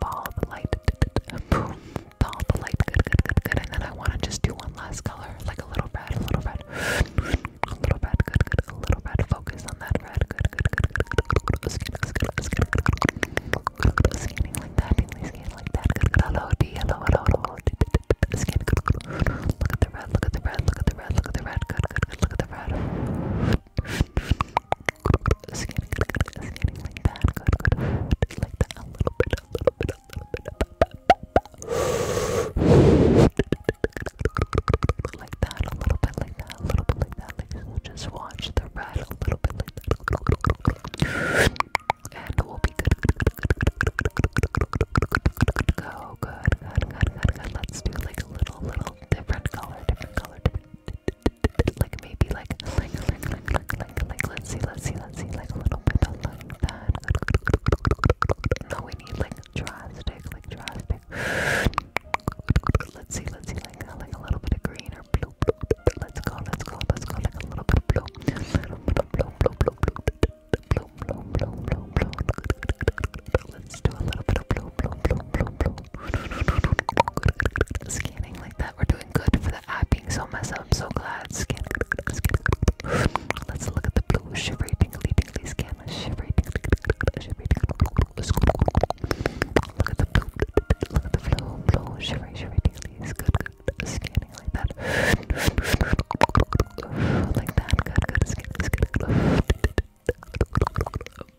Follow the light. Boom. Follow the light. Good, good, good, good. And then I want to just do one last color, like a little red, a little red, a little red. Good, good. A little red. Focus on that red. Good, good, good, good, good. good. Scanning, scanning, scanning. Scanning like that. Scanning like that. Good, good. Hello, D. Hello, hello, hello. Scanning. Good, good. Look at the red. Look at the red. Look at the red. Look at the red. Good, good, good. Look at the red like that, a little bit, a little bit, a little bit, like that, a little bit, like that, a little bit, like that, just watch the red a little bit like that, and we'll be good, good, good, good, good, good, good, let's do like a little, little different color, different color, like maybe like like like like like like like let's see let's see let's see like a little bit of like that no we need like drastic like drastic let's see let's see like like a little bit of green or blue let's go let's go let's go like a little bit of blue a little bit of blue blue blue blue blue blue blue blue blue blue blue let's do a little bit of blue, blue, blue, blue, blue. Scanning like that. We're doing good for the eye being so messed up. I'm so glad. Scan. Scan. Let's look at the blue. Shivery, tingly, tingly scan. Shivery, tingly, shivery, tingly. Look at the blue. Look at the blue, blue. Shivery, shivery, tingly. It's good, good. Scanning like that. Like that. Good, good. Scan. Scan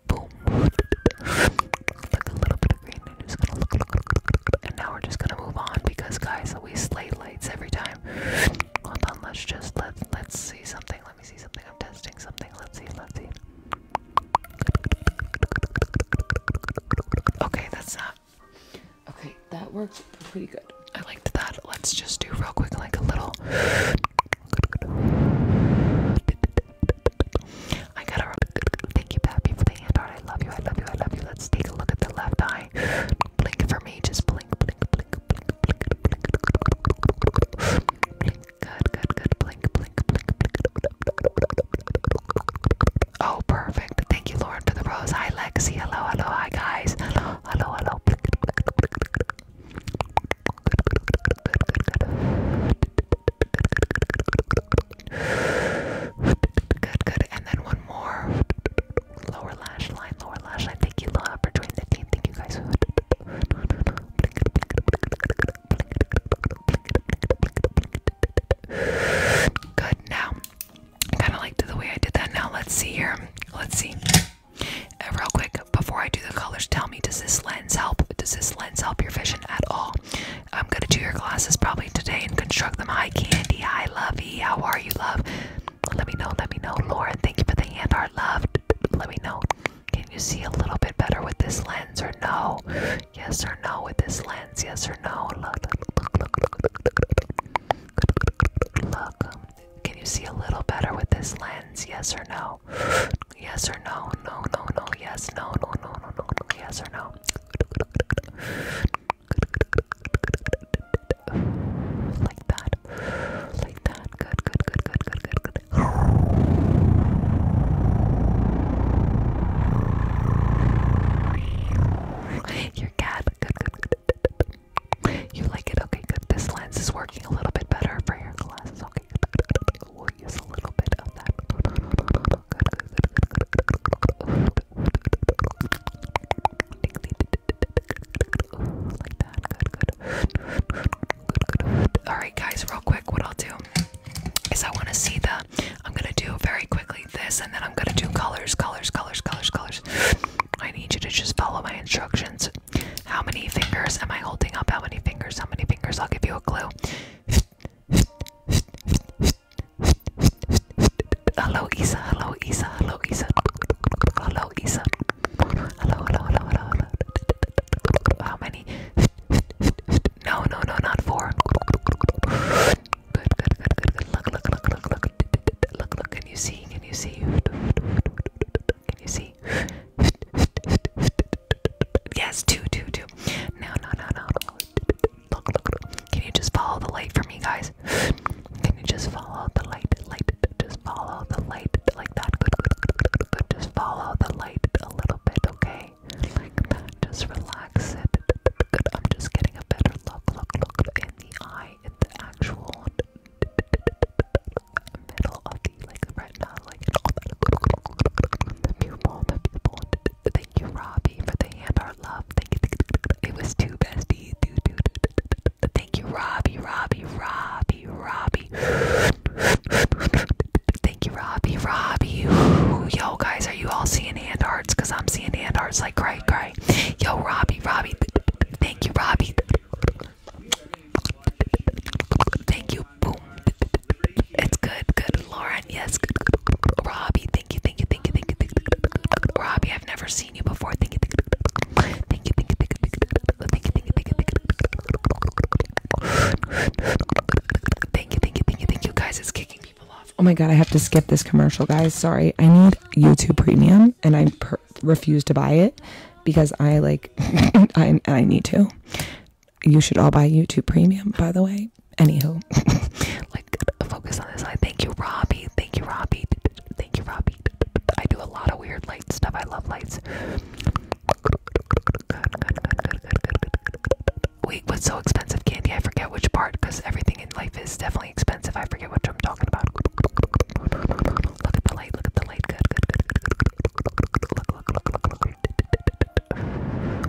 and now we're just gonna move on because guys, we slay lights every time. Hold on, let's just let let's see something. Let me see something. I'm testing something. Let's see. Let's see. Okay, that's not. Okay, that worked pretty good. I liked that. Let's just do real quick, like a little. I gotta thank you, Pappy, for the hand art. I love you, I love you, I love you. Let's take a look at the left eye. Blink for me, just blink, blink, blink, blink, blink, blink. Blink, good, good, good. Blink, blink, blink, blink. Oh, perfect. Thank you, Lauren, for the rose. Hi, Lexi. Hello, hello, hi, guys. Hello, hello, hello. Blink, blink, blink, blink. And then one more. Lower lash line, lower lash line. Thank you, Laura, for joining the team. Thank you guys. Good. Now, I kind of liked the way I did that. Now, let's see here. Let's see. Uh, real quick, before I do the colors, tell me, does this lens help? Does this lens help your vision at all? I'm gonna do your glasses probably today and construct them. Hi, Candy. Hi, Lovey. How are you, love? Let me know. Let me know, Lauren. Thank you for the hand art, love. Let me know. Can you see a little bit better with this lens or no? Yes or no with this lens? Yes or no? Look, look. Can you see a little better with this lens? Yes or no? Yes or no? No, no, no. Yes, no, no, no, no, no, Yes or no? Like that. Like that. Good, good, good, good, good, good, good. Your cat. good. You like it? Okay, good. This lens is working a little bit better for your glasses. Okay. Alright, guys, real quick, what I'll do is I want to see the. I'm going to do very quickly this, and then I'm going to do colors, colors, colors, colors, colors. I need you to just follow my instructions. How many fingers am I holding up? How many fingers? How many fingers? I'll give you a clue. Hello, Isa. Hello, Isa. Hello, Isa. Hello, Isa. Hello, hello, hello, hello, hello. How many? No, no, no, not four. Look, look, look, look, look. Look, look. Can you see? Can you see? Can you see? Yes, two, two, two. No, no, no, no. Look, look, look. Can you just follow the light for me, guys? Can you just follow the light? Light. Just follow the light like that. Good, good, Just follow the light a little bit, okay? Like that. Just relax it. Good. I'm just getting a better look. Look, look in the eye, in the actual one middle of the like retina, like the pupil, the pupil. Thank you, Robbie, for the hand art love. Thank you. It was too bestie. Thank you, Robbie, Robbie, Robbie, Robbie. Thank you, Robbie, Robbie. Ooh, yo, guys, are you all seeing hand arts? Cause I'm seeing hand arts like cray cray. Yo, Robbie, Robbie. Thank you, Robbie. Thank you. Boom. It's good. Good. Lauren, yes. Good, good. Robbie, thank you. Thank you. Thank you. Thank you. Thank you. Robbie, I've never seen you before. Thank you. Thank you. Thank you. Thank you. Thank you. Thank you. Thank you. Thank you. Thank you. Thank you. Thank you. Guys, it's kicking people off. Oh my god, I have to skip this commercial, guys. Sorry. I need YouTube Premium and I refuse to buy it because I like I I need to. You should all buy YouTube Premium, by the way. Anywho, like focus on this. I thank you, Robbie. Thank you, Robbie. Thank you, Robbie. I do a lot of weird light stuff. I love lights. Wait, what's so expensive candy? I forget which part because everything in life is definitely expensive. I forget what I'm talking about. Look at the light, look at the light. Good, good, good, Look, look, look, look, look.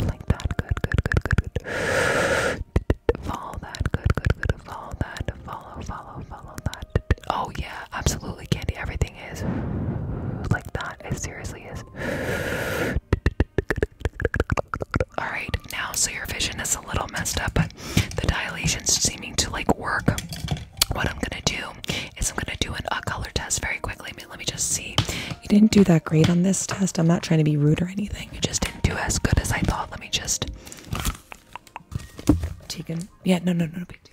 Like that. Good, good, good, good, good. Follow that. Good, good, good. Follow that. Follow, follow, follow that. Oh yeah, absolutely, Candy. Everything is like that. It seriously is. Alright, now so your vision is a little messed up, but the dilation's seeming to like work what I'm gonna do is I'm gonna do an, a color test very quickly. let me just see. You didn't do that great on this test. I'm not trying to be rude or anything. You just didn't do as good as I thought. Let me just. Tegan. Yeah, no, no, no, no big deal.